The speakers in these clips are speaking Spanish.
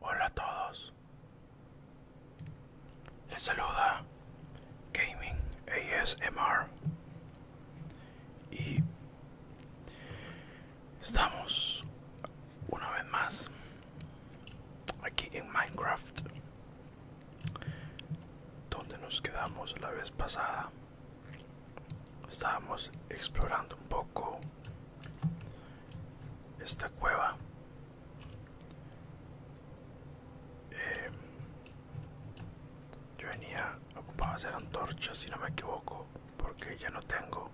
Hola a todos, les saluda Gaming ASMR y estamos una vez más aquí en Minecraft donde nos quedamos la vez pasada estábamos explorando un poco esta cueva eh, yo venía ocupado hacer antorchas si no me equivoco porque ya no tengo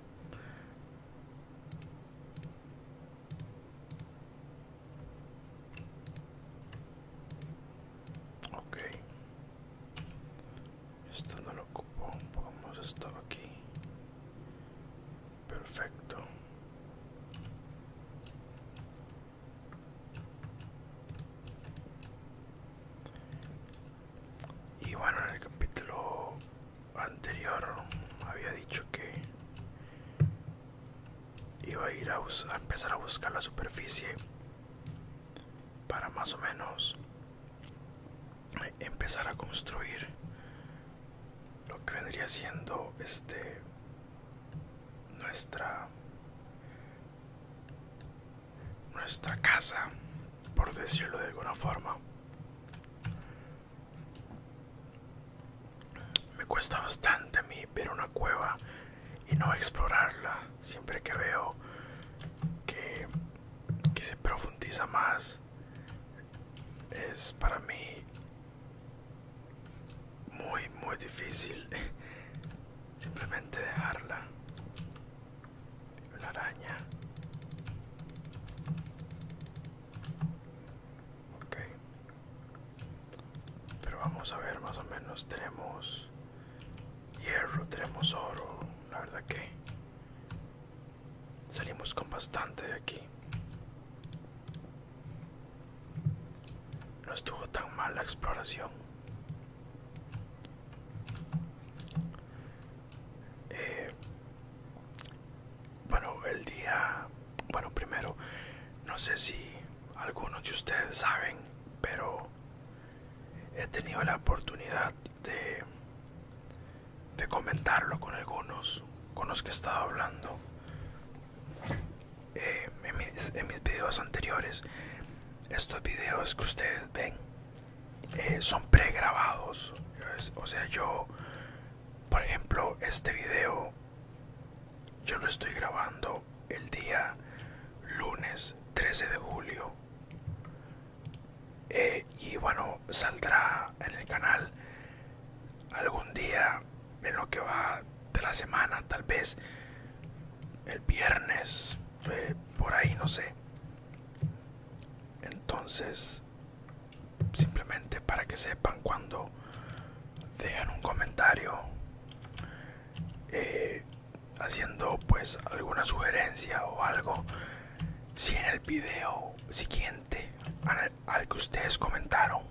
ok esto no lo ocupo, pongamos esto aquí. Perfecto. Y bueno, en el capítulo anterior había dicho que iba a ir a empezar a buscar la superficie para más o menos empezar a construir lo que vendría siendo este nuestra nuestra casa por decirlo de alguna forma me cuesta bastante a mí ver una cueva y no explorarla. Siempre que veo que, que se profundiza más, es para mí muy, muy difícil simplemente dejarla. La araña. Ok. Pero vamos a ver, más o menos tenemos hierro, tenemos oro. La verdad que salimos con bastante de aquí. No estuvo tan mal la exploración. Eh, bueno, el día bueno primero no sé si algunos de ustedes saben pero he tenido la oportunidad de comentarlo con algunos con los que he estado hablando eh, en, mis, videos anteriores estos videos que ustedes ven eh, son pregrabados o sea yo por ejemplo este video yo lo estoy grabando el día lunes 13 de julio. Eh, y bueno, saldrá en el canal algún día en lo que va de la semana, tal vez el viernes, eh, por ahí, no sé. Entonces, simplemente para que sepan cuando dejen un comentario eh, haciendo pues alguna sugerencia o algo si en el vídeo siguiente al, que ustedes comentaron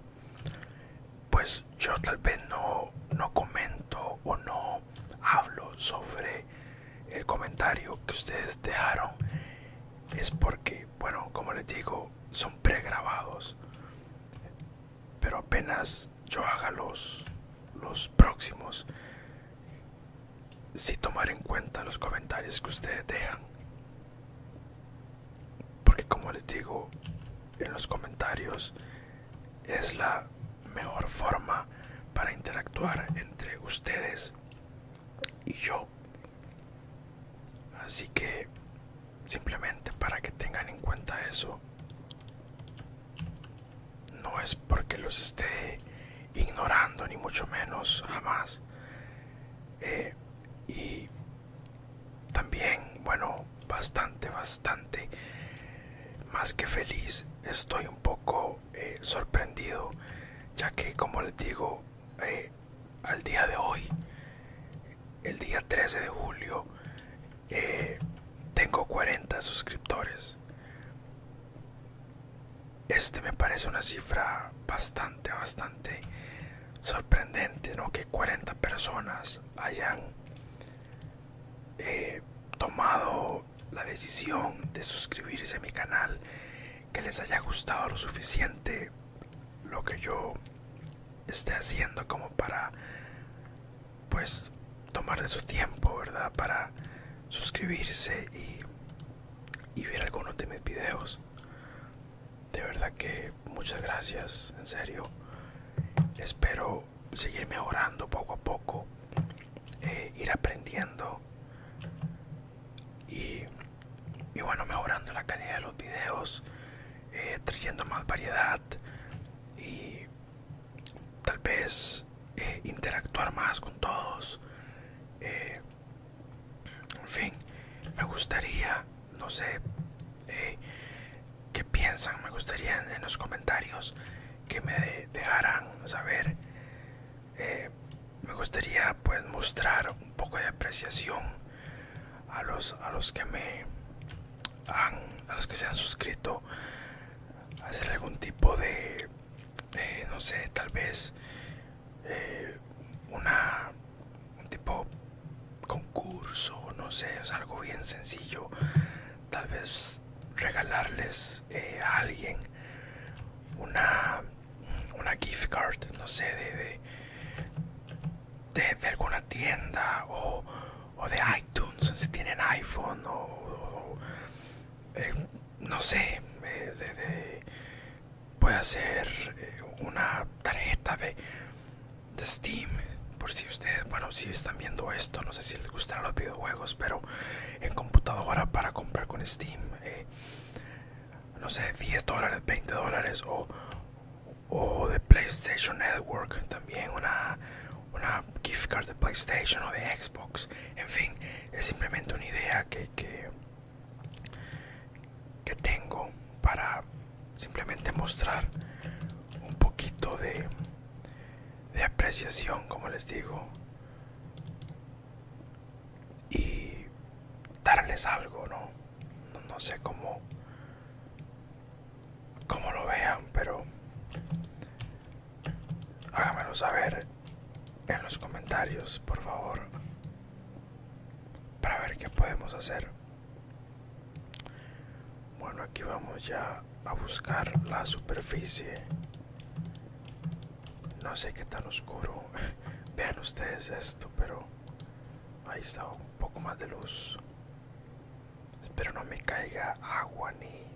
pues yo tal vez no, no comento o no hablo sobre el comentario que ustedes dejaron es porque bueno como les digo son pregrabados pero apenas yo haga los, los próximos si tomar en cuenta los comentarios que ustedes dejan porque como les digo en los comentarios es la mejor forma para interactuar entre ustedes y yo. Así que simplemente para que tengan en cuenta eso. No es porque los esté ignorando, ni mucho menos, jamás. Eh, y también, bueno, bastante, bastante, más que feliz, estoy un poco eh, sorprendido, ya que, como les digo, eh, al día de hoy, el día 13 de julio, eh, tengo 40 suscriptores. Este me parece una cifra bastante, bastante sorprendente, ¿no? Que 40 personas hayan eh, tomado la decisión de suscribirse a mi canal, que les haya gustado lo suficiente lo que yo esté haciendo como para pues de su tiempo verdad para suscribirse y, ver algunos de mis videos de verdad que muchas gracias en serio espero seguir mejorando poco a poco eh, ir aprendiendo y, bueno mejorando la calidad de los videos eh, trayendo más variedad y tal vez eh, interactuar más con todos eh, en fin me gustaría no sé qué piensan me gustaría en, los comentarios que me dejaran saber eh, me gustaría pues mostrar un poco de apreciación a los a los que me han a los que se han suscrito hacer algún tipo de eh, no sé tal vez eh, una un tipo concurso no sé algo bien sencillo tal vez regalarles a alguien una una gift card, no sé, de, de, de, alguna tienda o, o de iTunes, si tienen iPhone o, eh, no sé, eh, de, de, puede hacer eh, una tarjeta de Steam, por si ustedes, bueno, si están viendo esto, no sé si les gustan los videojuegos, pero en computadora para comprar con Steam. Eh, no sé, 10 dólares, 20 dólares o, o de PlayStation Network. También una, una gift card de PlayStation o de Xbox. En fin, es simplemente una idea que, que, que tengo para simplemente mostrar un poquito de, de apreciación, como les digo, y darles algo, ¿no? No, sé cómo, cómo lo vean, pero háganmelo saber en los comentarios, por favor, para ver qué podemos hacer. Bueno, aquí vamos ya a buscar la superficie no sé qué tan oscuro vean ustedes esto pero ahí está un poco más de luz espero no me caiga agua ni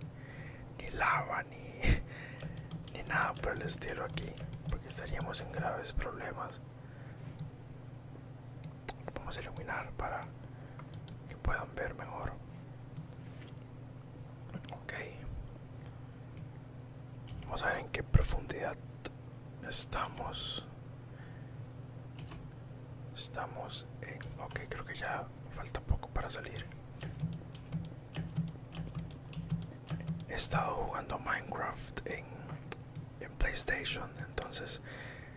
ni lava ni ni nada por el estilo aquí porque estaríamos en graves problemas vamos a iluminar para que puedan ver mejor Ok. Vamos a ver en qué profundidad estamos. Estamos en... Ok, creo que ya falta poco para salir. He estado jugando Minecraft en, en PlayStation, entonces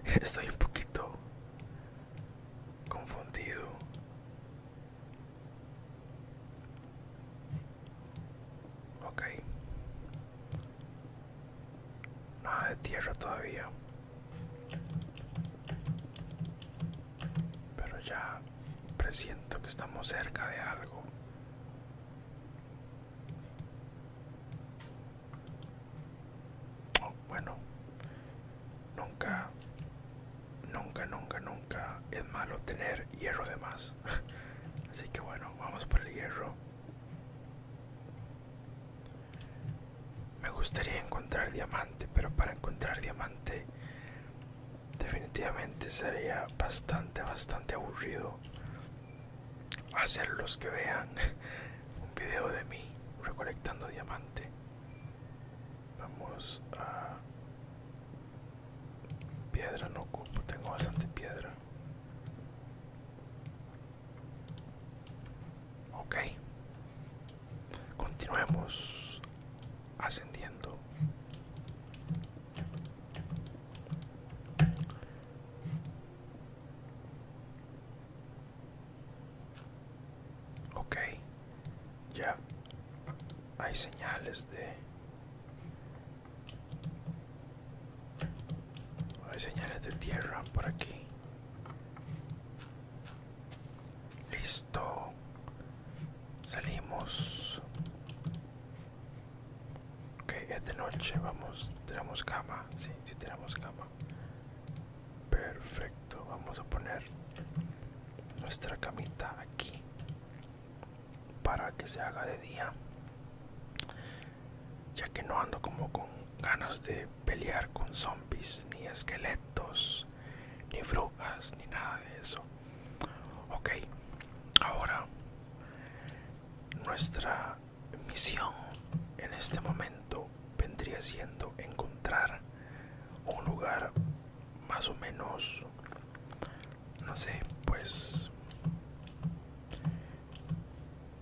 estoy un poquito confundido ok nada de tierra todavía pero ya presiento que estamos cerca de algo bueno nunca nunca nunca nunca es malo tener hierro de más así que bueno vamos por el hierro me gustaría encontrar diamante pero para encontrar diamante definitivamente sería bastante bastante aburrido hacer los que vean un video de mí recolectando diamante. Vamos a piedra no tengo bastante piedra. Ok, continuemos ascendiendo. Ok, ya hay señales de... Hay señales de tierra por aquí. Listo. Salimos. Ok, es de noche. Vamos, tenemos cama. Sí, tenemos cama perfecto vamos a poner nuestra camita aquí para que se haga de día ya que no ando como con ganas de pelear con zombies ni esqueletos ni brujas ni nada de eso ok ahora nuestra misión en este momento vendría siendo encontrar un lugar más o menos no sé pues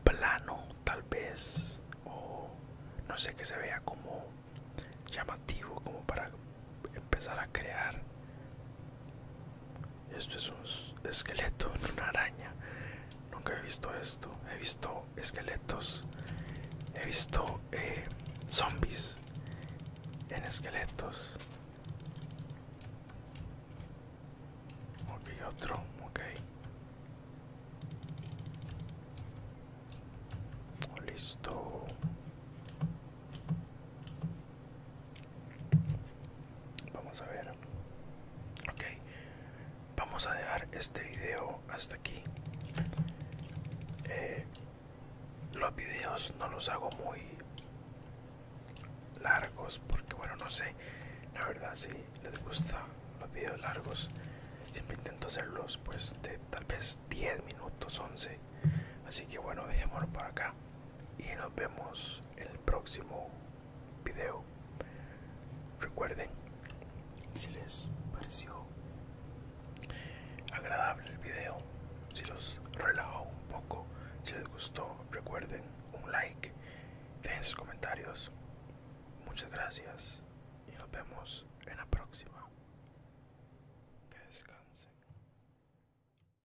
plano tal vez o no sé que se vea como llamativo como para empezar a crear esto es un esqueleto, una araña. Nunca he visto esto. He visto esqueletos. He visto eh, zombies en esqueletos. Ok, otro. Ok. Listo. Vamos a ver. Ok. Vamos a dejar este video hasta aquí. Eh, los videos no los hago muy largos porque bueno no sé la verdad si les gusta los videos largos siempre intento hacerlos pues de tal vez 10 minutos 11 así que bueno dejémoslo para acá y nos vemos el próximo video. Recuerden, si les pareció agradable el video, si los relajó un poco, si les gustó, recuerden un like, dejen sus comentarios. Muchas gracias y nos vemos en la próxima. Que descansen.